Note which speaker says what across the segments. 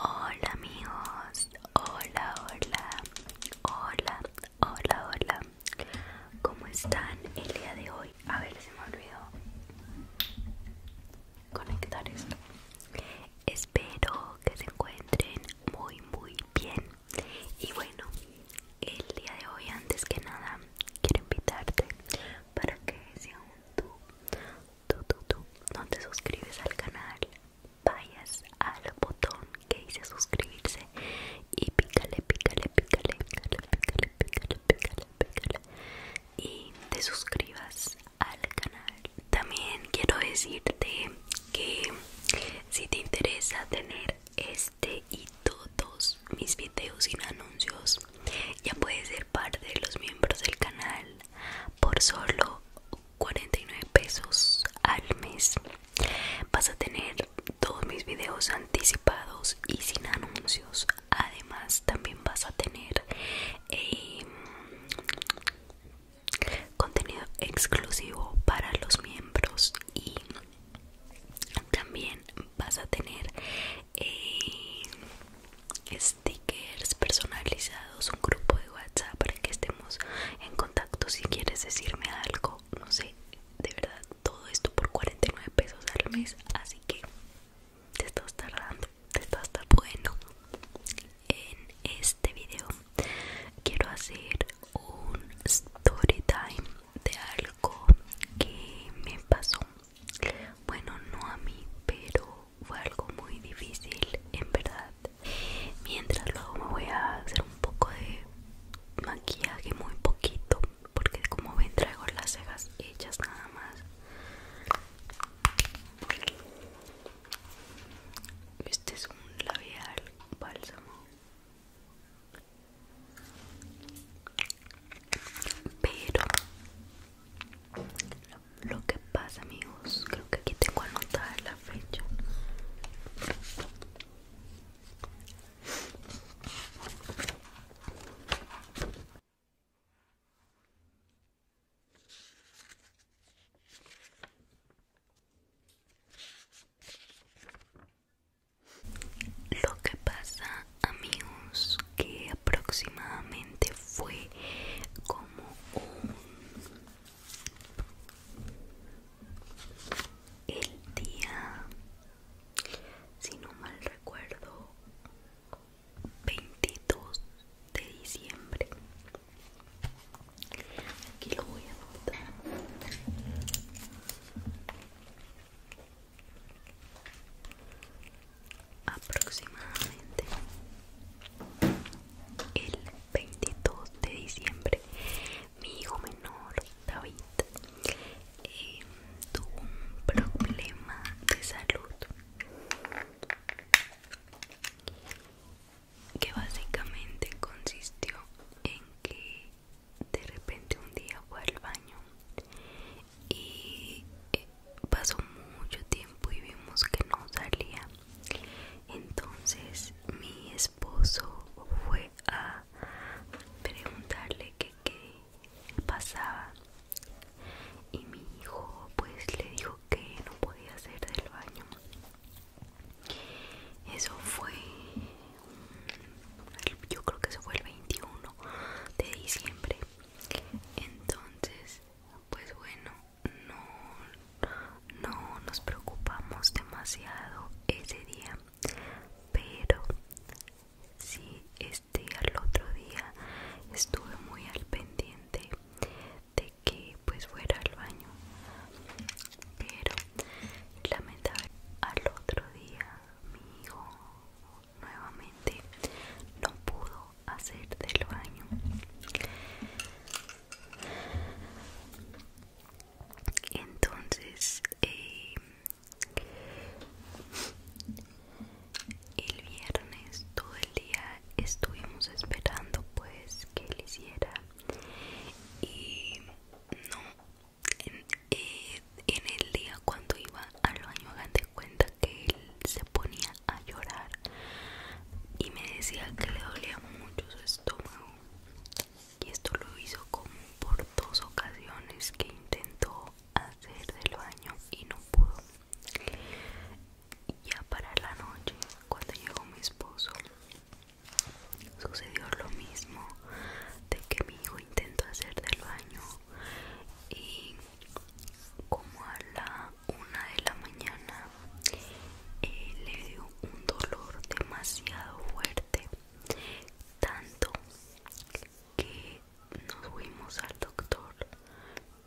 Speaker 1: Hola amigos, hola, hola, hola, hola, hola. ¿Cómo están el día de hoy? A ver, se me olvidó conectar esto. Espero que se encuentren muy, muy bien. Y bueno, el día de hoy, antes que nada, quiero invitarte para que sea un tú tú, tú, no te suscribes al canal, vayas al botón que dice suscribirse y pícale, pícale, pícale, pícale, pícale, pícale, pícale, pícale y te suscribas al canal. También quiero decirte que si te interesa tener este y todos mis videos sin anuncios, ya puedes ser parte de los miembros del canal por solo 49 pesos al mes vas a tener todos mis videos anticipados y sin anuncios además también vas a tener em, contenido exclusivo para los miembros y también vas a tener em, stickers personalizados, un grupo de WhatsApp para que estemos en contacto si quieres decirme algo, no sé, de verdad, todo esto por 49 pesos al mes, así que te estás tardando, te estás tardando. en este video quiero hacer un story time de algo que me pasó. Bueno, no a mí, pero fue algo muy difícil, en verdad. Mientras luego me voy a hacer un poco de maquillaje, muy poquito, porque como ven traigo las cejas hechas nada más. Este es un labial bálsamo. Pero lo que pasa amigos creo que aquí tengo anotada la fecha lo que pasa amigos que aproximadamente fue como el día, si no mal recuerdo, 22 de diciembre. Aquí lo voy a anotar aproximadamente el 22 de diciembre mi hijo menor David eh, tuvo un problema de salud que básicamente consistió en que de repente un día fue al baño y eh, pasó mucho tiempo y vimos que no salía. Entonces mi esposo fue a preguntarle que qué pasaba y mi hijo pues le dijo que no podía hacer del baño. Eso fue, yo creo que eso fue el 21 de diciembre. Entonces, pues bueno, no, no nos preocupamos demasiado ese día, pero sí, este al otro día estuve muy al pendiente de que pues fuera al baño, pero lamentablemente al otro día mi hijo nuevamente no pudo hacer del baño entonces eh, el viernes todo el día estuvimos esperando pues que él hiciera y no en, eh, en el día cuando iba al baño hagan de cuenta que él se ponía a llorar y me decía que le dolía mucho su estómago y esto lo hizo como por dos ocasiones que intentó hacer del baño y no pudo ya para la noche cuando llegó mi esposo sucedió lo mismo de que mi hijo intentó hacer del baño y como a la una de la mañana eh, le dio un dolor demasiado fuerte tanto que nos fuimos al doctor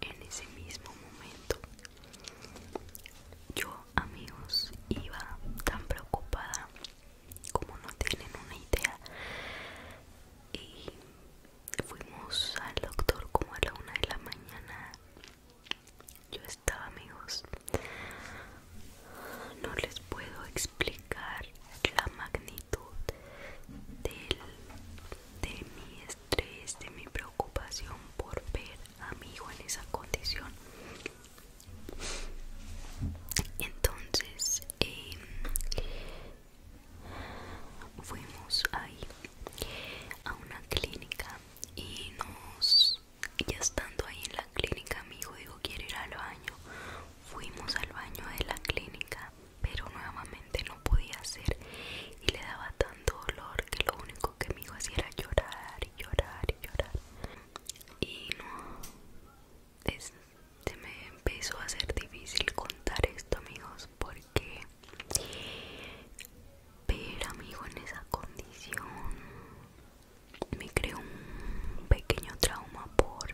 Speaker 1: en ese mismo momento yo amigos iba tan preocupada como no tienen una idea y fuimos al doctor como a la una de la mañana yo estaba amigos no les puedo explicar la magnitud de mi estrés de mi preocupación por ver a mi hijo en esa condición entonces em, fuimos ahí a una clínica y nos ya estando ahí en la clínica mi hijo dijo quiero ir al baño fuimos al baño de la clínica pero nuevamente no podía hacer y le daba tanto dolor que lo único que mi hijo hacía era llorar y llorar y llorar y no es, se me empezó a ser difícil contar esto amigos porque pero amigo en esa condición me creó un pequeño trauma por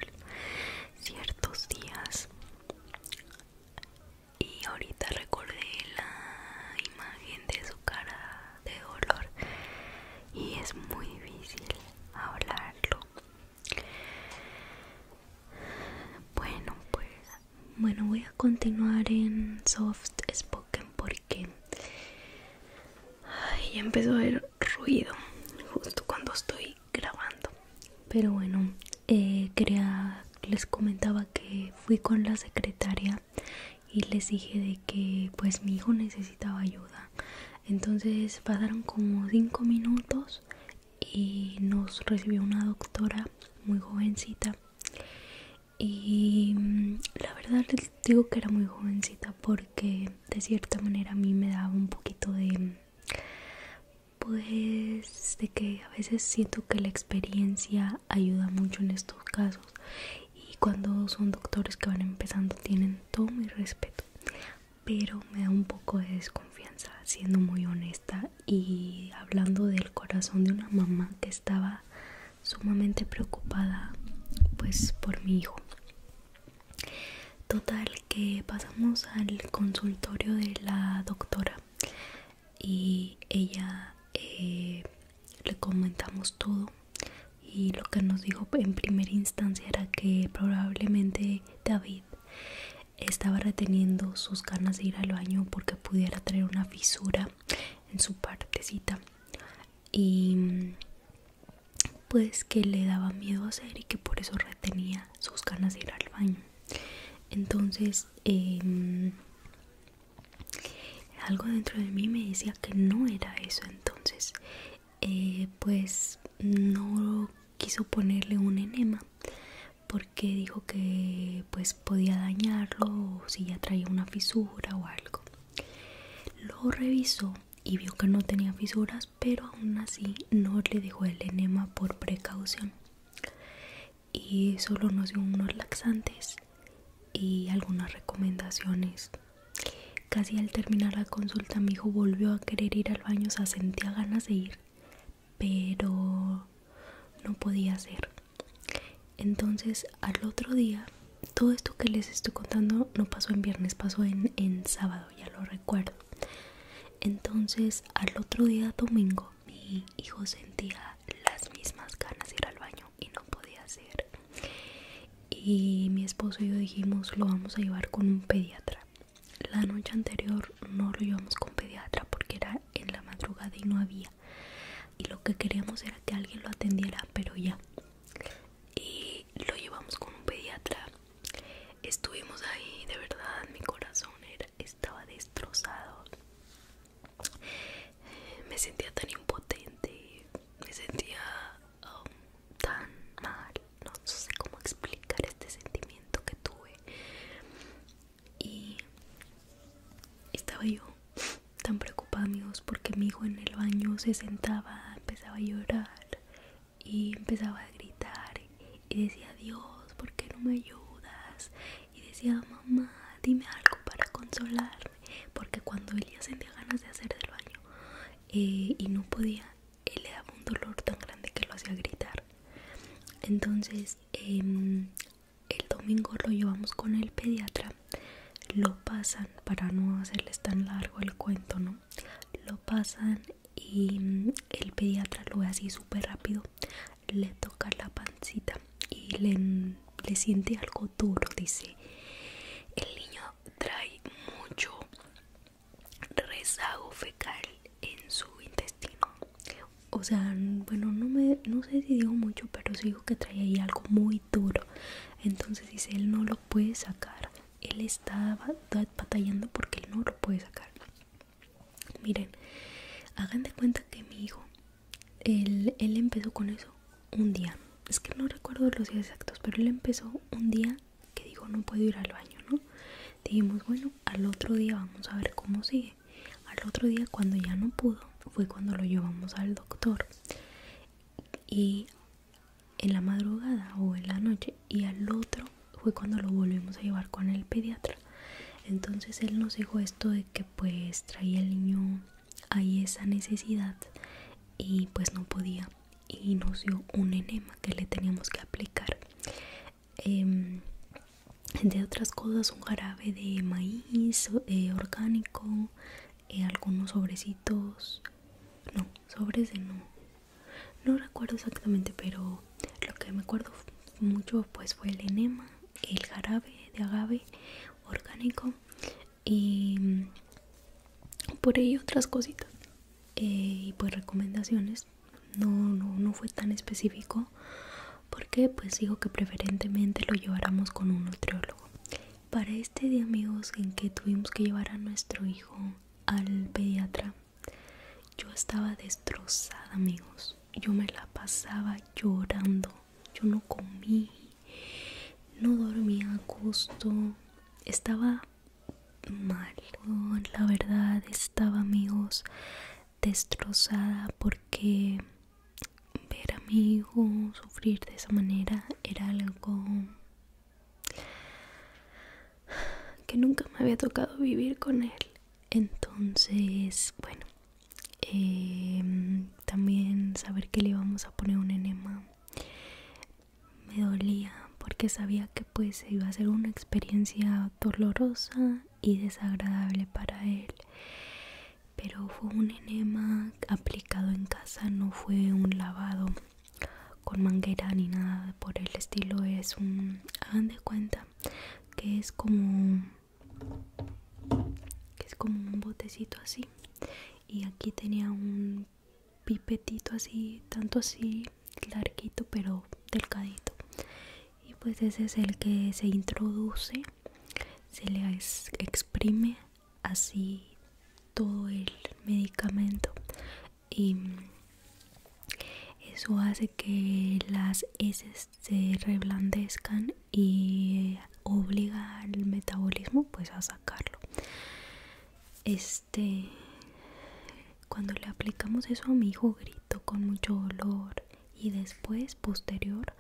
Speaker 1: ciertos días y ahorita recordé la imagen de su cara de dolor y es muy difícil hablarlo bueno pues bueno, voy a continuar en soft spoken porque ya empezó a haber ruido justo cuando estoy grabando. Pero bueno, eh, les comentaba que fui con la secretaria y les dije de que pues mi hijo necesitaba ayuda. Entonces pasaron como 5 minutos y nos recibió una doctora muy jovencita y mm, la verdad les digo que era muy jovencita porque de cierta manera a mí me daba un poquito de pues de que a veces siento que la experiencia ayuda mucho en estos casos y cuando son doctores que van empezando tienen todo mi respeto pero me da un poco de desconfianza siendo muy honesta y hablando del corazón de una mamá que estaba sumamente preocupada pues por mi hijo total que pasamos al consultorio de la doctora y ella eh, le comentamos todo y lo que nos dijo en primera instancia era que probablemente David estaba reteniendo sus ganas de ir al baño porque pudiera traer una fisura en su partecita y pues que le daba miedo hacer y que por eso retenía sus ganas de ir al baño entonces em, algo dentro de mí me decía que no era eso entonces eh, pues no quiso ponerle un enema porque dijo que pues pues, podía dañarlo o si ya traía una fisura o algo. Lo revisó y vio que no tenía fisuras, pero aún así no le dejó el enema por precaución. Y solo nos dio unos laxantes y algunas recomendaciones. Casi al terminar la consulta mi hijo volvió a querer ir al baño, se sentía ganas de ir, pero no podía hacer. Entonces al otro día, todo esto que les estoy contando no pasó en viernes, pasó en, sábado, ya lo recuerdo. Entonces al otro día domingo mi hijo sentía las mismas ganas de ir al baño y no podía hacer. Y mi esposo y yo dijimos lo vamos a llevar con un pediatra. La noche anterior no lo llevamos con pediatra porque era en la madrugada y no había y lo que queríamos era que alguien lo atendiera pero ya y lo llevamos con un pediatra estuvimos ahí de verdad mi corazón estaba destrozado me sentía tan impotente me sentía um, tan mal no sé cómo explicar este sentimiento que tuve y estaba yo tan amigos, porque mi hijo en el baño se sentaba, empezaba a llorar y empezaba a gritar y decía Dios, ¿por qué no me ayudas? Y decía mamá, dime algo para consolarme, porque cuando él ya sentía ganas de hacer el baño eh, y no podía, él le daba un dolor tan grande que lo hacía gritar. Entonces em, el domingo lo llevamos con el pediatra lo pasan para no hacerles tan largo el cuento no lo pasan y mm, el pediatra lo ve así súper rápido le toca la pancita y le, siente algo duro dice el niño trae mucho rezago fecal en su intestino o sea bueno no me sé si digo mucho pero sí que traía ahí algo muy duro. Entonces dice, él no lo puede sacar. Él estaba batallando porque él no lo puede sacar. Miren, hagan de cuenta que mi hijo, él, él empezó con eso un día. Es que no recuerdo los días exactos, pero él empezó un día que digo no puedo ir al baño, ¿no? Dijimos, bueno, al otro día vamos a ver cómo sigue. Al otro día cuando ya no pudo, fue cuando lo llevamos al doctor y en la madrugada o en la noche y al otro fue cuando lo volvimos a llevar con el pediatra entonces él nos dijo esto de que pues traía el niño ahí esa necesidad y pues no podía y nos dio un enema que le teníamos que aplicar em, Entre otras cosas un jarabe de maíz eh, orgánico algunos sobrecitos no sobres de no no recuerdo exactamente pero lo que me acuerdo mucho pues fue el enema el jarabe de agave orgánico y mm, por ahí otras cositas eh, y pues recomendaciones no, no, no fue tan específico porque pues digo que preferentemente lo lleváramos con un nutriólogo para este día amigos en que tuvimos que llevar a nuestro hijo al pediatra, yo estaba destrozada amigos. Yo me la pasaba llorando. Yo no comí, no dormía a gusto. Estaba mal. La verdad estaba amigos destrozada porque ver a mi hijo sufrir de esa manera era algo que nunca me había tocado vivir con él. Entonces, bueno, em, también saber que le íbamos a poner un enema me dolía porque sabía que pues iba a ser una experiencia dolorosa y desagradable para él pero fue un enema aplicado en casa no fue un lavado con manguera ni nada por el estilo es un hagan de cuenta que es como que es como un botecito así y aquí tenía un pipetito así tanto así larguito pero delgadito y pues ese es el que se introduce se le exprime así todo el medicamento y eso hace que las heces se reblandezcan y obliga al metabolismo pues a sacarlo este cuando le aplicamos eso a mi hijo gritó con mucho dolor y después posterior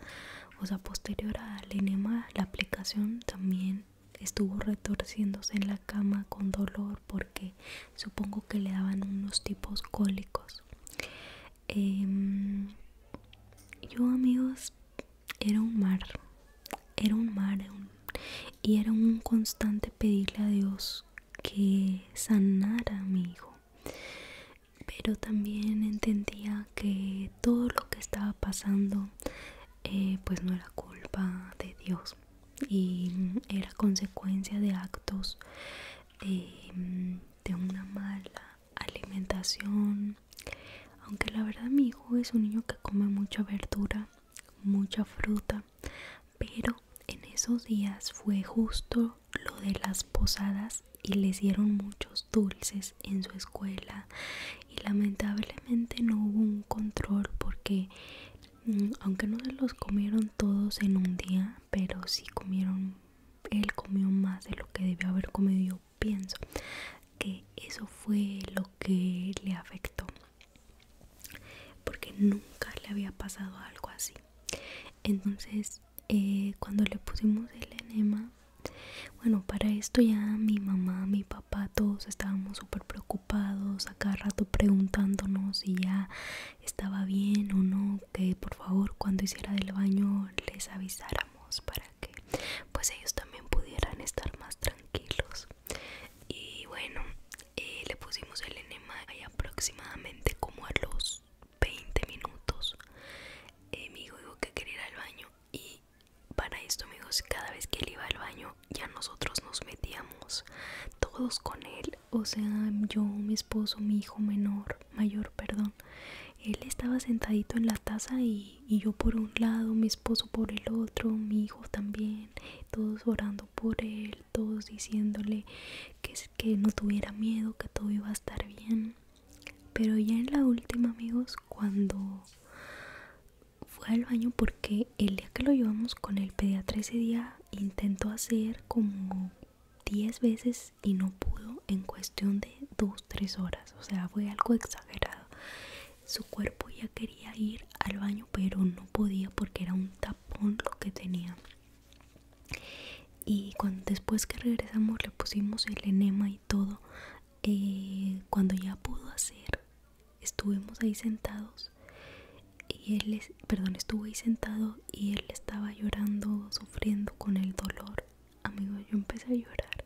Speaker 1: o sea posterior al enema la aplicación también estuvo retorciéndose en la cama con dolor porque supongo que le daban unos tipos cólicos em, yo amigos era un mar era un mar y era un constante pedirle a Dios que sanara a mi hijo pero también entendía que todo lo que estaba pasando eh, pues no era culpa de Dios y era consecuencia de actos de una mala alimentación aunque la verdad mi hijo es un niño que come mucha verdura mucha fruta pero en esos días fue justo lo de las posadas y les dieron muchos dulces en su escuela y lamentablemente no hubo un control porque mm, aunque no se los comieron todos en un día pero si comieron él comió más de lo que debió haber comido yo pienso que eso fue lo que le afectó porque nunca le había pasado algo así entonces eh, cuando le pusimos el enema bueno, para esto ya mi mamá, mi papá, todos estábamos súper preocupados, Acá cada rato preguntándonos si ya estaba bien o no, que por favor cuando hiciera del baño les avisáramos para que pues ellos también pudieran estar más tranquilos. Y bueno, eh, le pusimos el enema Y aproximadamente como a los 20 minutos. Eh, mi hijo dijo que quería ir al baño y para esto amigos, cada vez que él iba al baño ya nosotros nos metíamos todos con él. O sea, yo, mi esposo, mi hijo menor, mayor, perdón. Él estaba sentadito en la taza y, yo por un lado, mi esposo por el otro, mi hijo también. Todos orando por él, todos diciéndole que, que no tuviera miedo, que todo iba a estar bien. Pero ya en la última amigos, cuando fue al baño porque el día que lo llevamos con el pediatra ese día intentó hacer como 10 veces y no pudo en cuestión de 2-3 horas. O sea, fue algo exagerado. Su cuerpo ya quería ir al baño pero no podía porque era un tapón lo que tenía. Y cuando, después que regresamos le pusimos el enema y todo eh, cuando ya pudo hacer estuvimos ahí sentados y él perdón estuve ahí sentado y él estaba llorando sufriendo con el dolor amigo yo empecé a llorar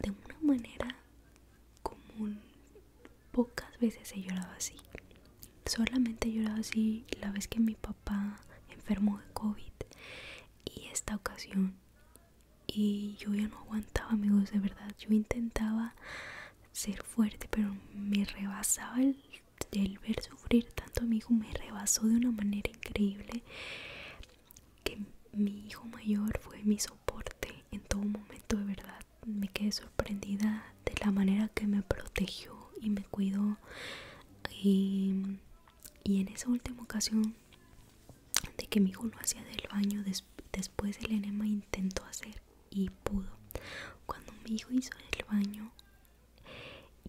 Speaker 1: de una manera común pocas veces he llorado así solamente he llorado así la vez que mi papá enfermó de covid y esta ocasión y yo ya no aguantaba amigos de verdad yo intentaba ser fuerte pero me rebasaba el, ver sufrir tanto a mi hijo me rebasó de una manera increíble que mi hijo mayor fue mi soporte en todo momento de verdad me quedé sorprendida de la manera que me protegió y me cuidó y en esa última ocasión de que mi hijo no hacía del baño después el enema intentó hacer y pudo cuando mi hijo hizo el baño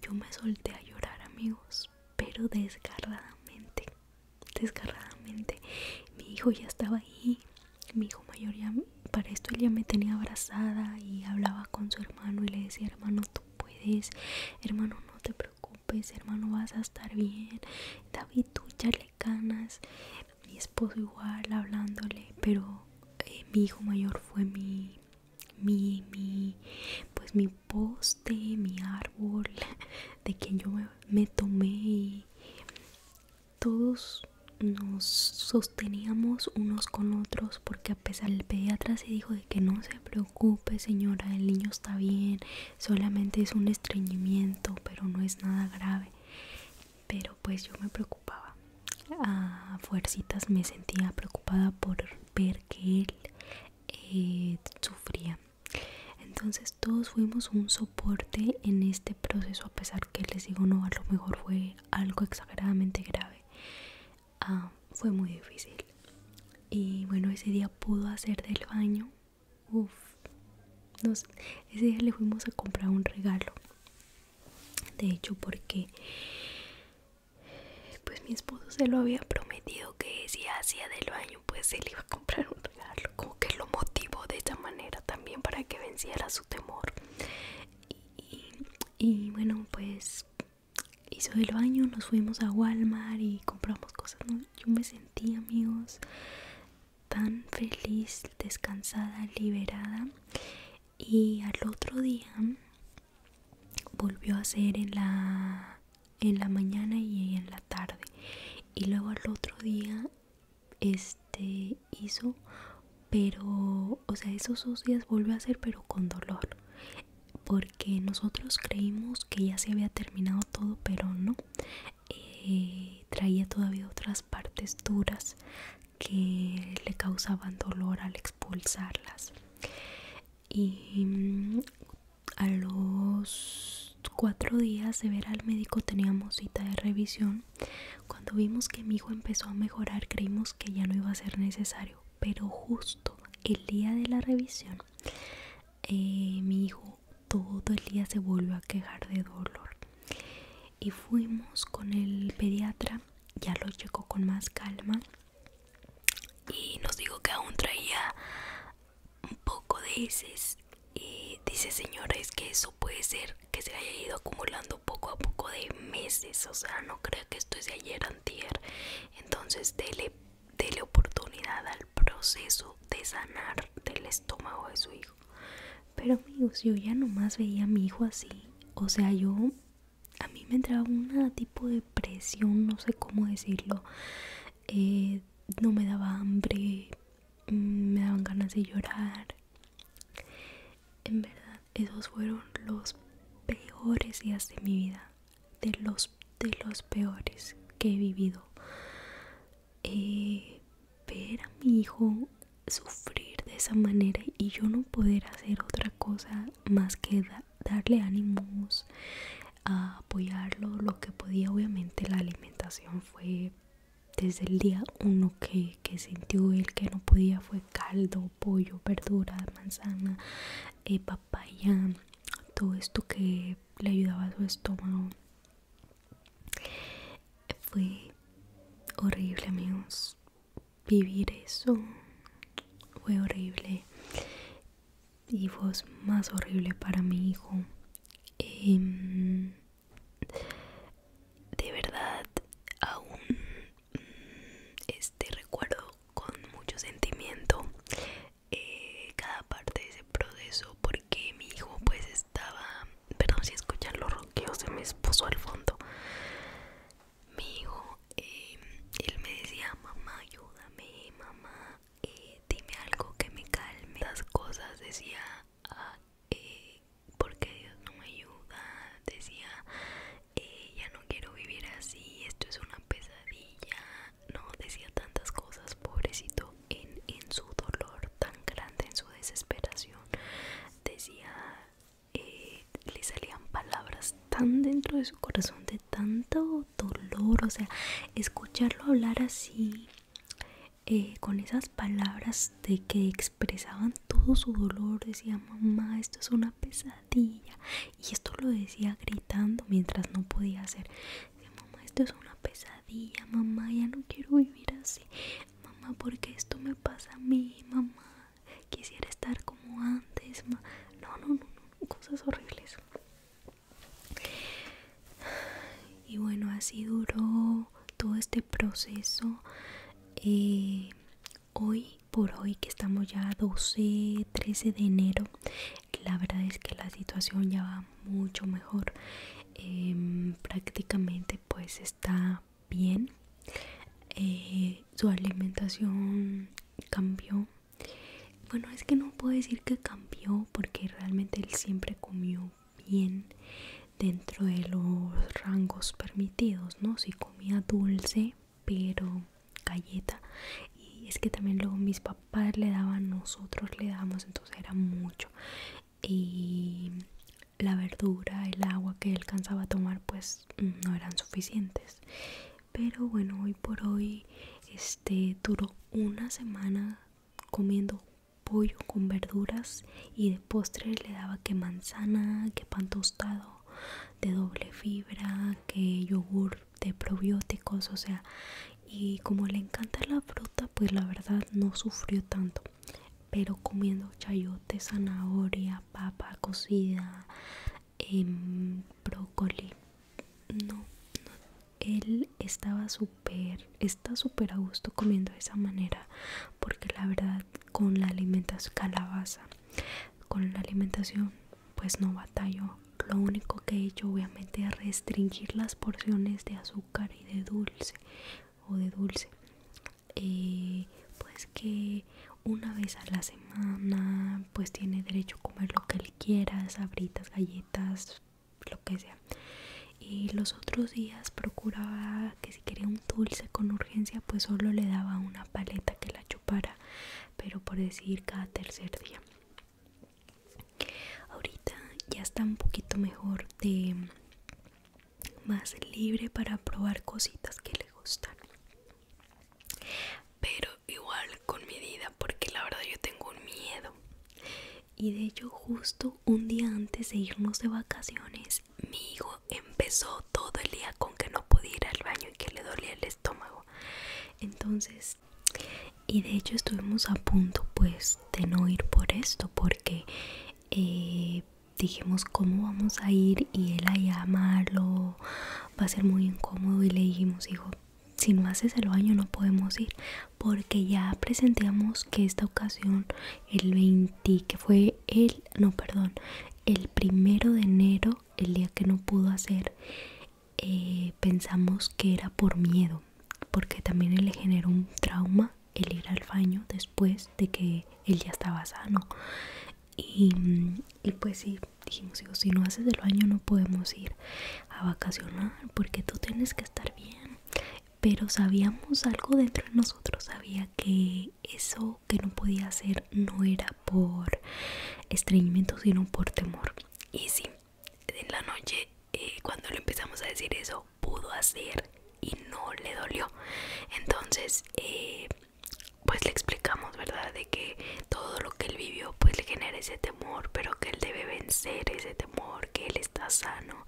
Speaker 1: yo me solté a llorar amigos pero desgarradamente desgarradamente mi hijo ya estaba ahí mi hijo mayor ya para esto él ya me tenía abrazada y hablaba con su hermano y le decía hermano tú puedes hermano no te preocupes pues hermano, vas a estar bien. David, tú le ganas Mi esposo igual hablándole, pero eh, mi hijo mayor fue mi, mi, pues mi poste, mi árbol, de quien yo me, tomé todos nos sosteníamos unos con otros porque a pesar del pediatra se dijo que no se preocupe señora el niño está bien solamente es un estreñimiento pero no es nada grave pero pues yo me preocupaba a fuercitas me sentía preocupada por ver que él eh, sufría entonces todos fuimos un soporte en este proceso a pesar que les digo no a lo mejor fue algo exageradamente grave ah, fue muy difícil y bueno ese día pudo hacer del baño Uf, sé, ese día le fuimos a comprar un regalo. De hecho, porque pues mi esposo se lo había prometido que si hacía del baño, pues él iba a comprar un regalo. Como que lo motivó de esa manera también para que venciera su temor. Y, bueno, pues hizo del baño, nos fuimos a Walmart y compramos cosas. Yo me sentí, amigos, tan feliz, descansada, liberada y al otro día volvió a hacer en la, en la mañana y en la tarde y luego al otro día este hizo pero o sea esos dos días volvió a hacer pero con dolor porque nosotros creímos que ya se había terminado todo pero no traía todavía otras partes duras que le causaban dolor al expulsarlas y mm, a los cuatro días de ver al médico teníamos cita de revisión cuando vimos que mi hijo empezó a mejorar creímos que ya no iba a ser necesario pero justo el día de la revisión eh, mi hijo todo el día se volvió a quejar de dolor y fuimos con el pediatra ya lo checó con más calma y nos dijo que aún traía un poco de heces y dice señora es que eso puede ser que se haya ido acumulando poco a poco de meses o sea no crea que esto es de ayer antier entonces dele, dele oportunidad al proceso de sanar del estómago de su hijo. Pero amigos, yo ya nomás veía a mi hijo así. O sea, yo a mí me entraba un tipo de presión, no sé cómo decirlo. Eh, no me daba hambre, mm, me daban ganas de llorar. En verdad, esos fueron los peores días de mi vida. De los, de los peores que he vivido. Eh, ver a mi hijo sufrir de esa manera y yo no poder hacer otra cosa más que darle ánimos, a apoyarlo, lo que podía, obviamente la alimentación fue desde el día uno que, sintió él que no podía fue caldo, pollo, verduras, manzana, eh, papaya, todo esto que le ayudaba a su estómago fue horrible, amigos. Vivir eso fue horrible. Y fue más horrible para mi hijo. Em, de verdad, aún mm, este recuerdo con mucho sentimiento eh, cada parte de ese proceso porque mi hijo pues estaba, perdón si escuchan los roqueos se me puso al fondo, mi hijo, em, él me decía, mamá, ayúdame, mamá, eh, dime algo que me calme. Las cosas decía, ah, eh, ¿por qué Dios no me ayuda, decía, eh, ya no quiero vivir así, esto es una pesadilla, no, decía tantas cosas, pobrecito en, su dolor tan grande, en su desesperación. Decía, eh, le salían palabras tan dentro de su corazón, de tanto dolor. O sea, escucharlo hablar así, eh, con esas palabras de que expresaban todo su dolor, decía, mamá, esto es una pesadilla. Y esto lo decía gritando mientras no podía hacer mamá esto es una pesadilla, mamá ya no quiero vivir así, mamá porque esto me pasa a mí, mamá quisiera estar como antes, no, no, no, no, cosas horribles. Y bueno, así duró todo este proceso. Eh, hoy por hoy que estamos ya 12, 13 de enero, la verdad es que la situación ya va mucho mejor em, prácticamente pues está bien eh, su alimentación cambió bueno es que no puedo decir que cambió porque realmente él siempre comió bien dentro de los rangos permitidos no si comía dulce pero galleta y es que también luego mis papás le daban nosotros le damos entonces era mucho y la verdura, el agua que alcanzaba a tomar pues mm, no eran suficientes. Pero bueno, hoy por hoy este duró una semana comiendo pollo con verduras y de postre le daba que manzana, que pan tostado de doble fibra, que yogur de probióticos, o sea, y como le encanta la fruta, pues la verdad no sufrió tanto pero comiendo chayote, zanahoria, papa cocida, brocoli em, brócoli. No, él estaba súper, está súper a gusto comiendo de esa manera, porque la verdad con la alimentación calabaza, con la alimentación pues no batallo. Lo único que he hecho obviamente es restringir las porciones de azúcar y de dulce o de dulce eh, pues que una vez a la semana pues tiene derecho a comer lo que él quiera sabritas galletas lo que sea y los otros días procuraba que si quería un dulce con urgencia pues solo le daba una paleta que la chupara pero por decir cada tercer día ahorita ya está un poquito mejor de más libre para probar cositas que le gustan pero igual con mi vida porque la verdad yo tengo un miedo y de hecho justo un día antes de irnos de vacaciones mi hijo empezó todo el día con que no podía ir al baño y que le dolía el estómago entonces y de hecho estuvimos a punto pues de no ir por esto porque eh, dijimos cómo vamos a ir y él a llamarlo va a ser muy incómodo y le dijimos hijo si no haces el baño no podemos ir porque ya presentamos que esta ocasión el 20 que fue el no perdón el primero de enero el día que no pudo hacer eh, pensamos que era por miedo porque también le generó un trauma el ir al baño después de que él ya estaba sano y, pues sí dijimos si no haces el baño no podemos ir a vacacionar porque tú tienes que estar bien pero sabíamos algo dentro de nosotros sabía que eso que no podía hacer no era por estreñimiento sino por temor y sí en la noche eh, cuando le empezamos a decir eso pudo hacer y no le dolió. Entonces, eh, pues le explicamos, ¿verdad? De que todo lo que él vivió, pues le genera ese temor, pero que él debe vencer ese temor, que él está sano.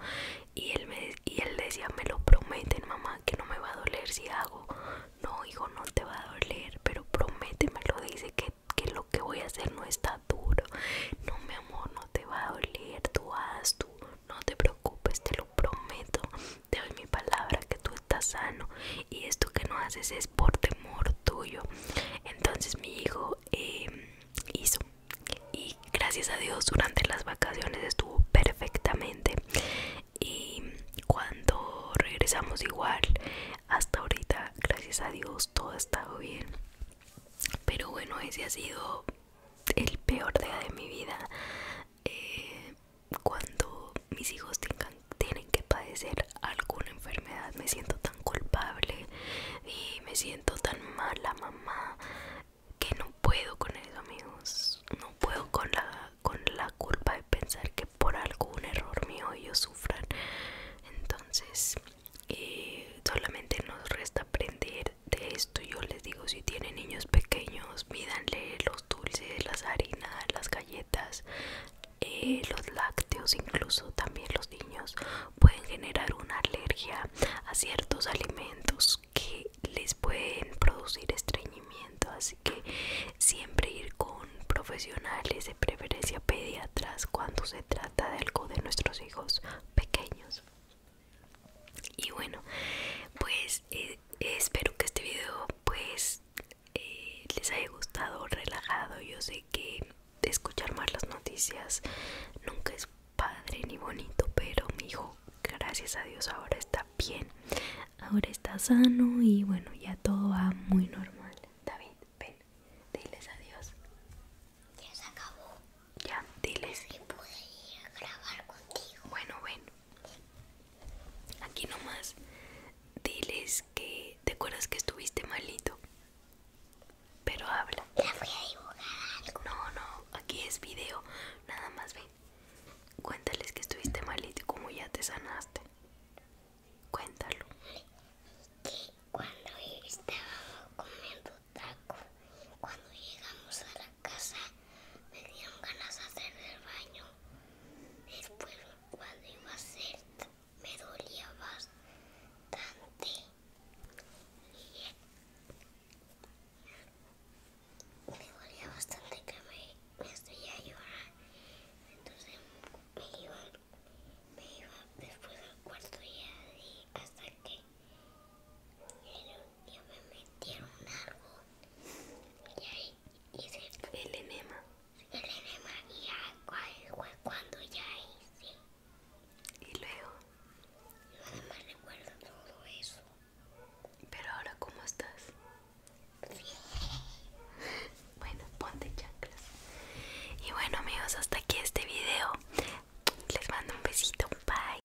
Speaker 1: Y él, me, y él decía, me lo prometen, mamá, que no me va a doler si hago. No, hijo, no te va a doler, pero lo dice que, que lo que voy a hacer no está duro. No, mi amor, no te va a doler, tú haz, tú no te preocupes, te lo prometo, te doy mi palabra que tú estás sano y esto que no haces es por temor tuyo. Entonces mi hijo em, hizo y gracias a Dios durante las vacaciones estuvo perfectamente y cuando regresamos igual hasta ahorita gracias a Dios todo ha estado bien pero bueno ese ha sido el peor día de mi vida eh, cuando mis hijos tienen que padecer alguna enfermedad me siento tan culpable y me siento tan mala mamá que no puedo con eso amigos no puedo con la con la culpa de pensar que por algún error mío ellos sufran entonces eh, solamente nos resta aprender de esto yo les digo si tienen niños pequeños mídanle los dulces las harinas las galletas eh, los lácteos incluso también los niños pueden generar una alergia a ciertos alimentos que les pueden producir estreñimiento así que siempre ir con profesionales de preferencia pediatras cuando se trata de algo de nuestros hijos pequeños y bueno pues eh, espero que este video pues eh, les haya gustado relajado yo sé que escuchar más las noticias nunca es padre ni bonito pero mi hijo gracias a dios ahora está bien ahora está sano y bueno ya todo va muy normal David ven diles adiós ya se acabó ya, diles. Si grabar contigo. Bueno, ven. Aquí nomás. Diles que te acuerdas que estuviste malito. Pero habla. La fui a dibujar No, no, aquí es video. Nada más ven. Cuéntales que estuviste malito y como ya te sanaste. Cuéntalo. Que cuando cuando llegamos a la casa me dieron ganas de hacer el baño. Después cuando iba a hacer me dolía bastante. me dolía bastante que me, me a llorar. Entonces me iba, me iba después al cuarto y así hasta que... Yo, me metí en un árbol y ahí hice el enema. El enema y agua fue cuando ya hice. Y luego. Nada más recuerdo todo eso. Pero ahora cómo estás? Sí. Bueno, ponte chanclas. Y bueno amigos, hasta aquí este video. Les mando un besito. Bye.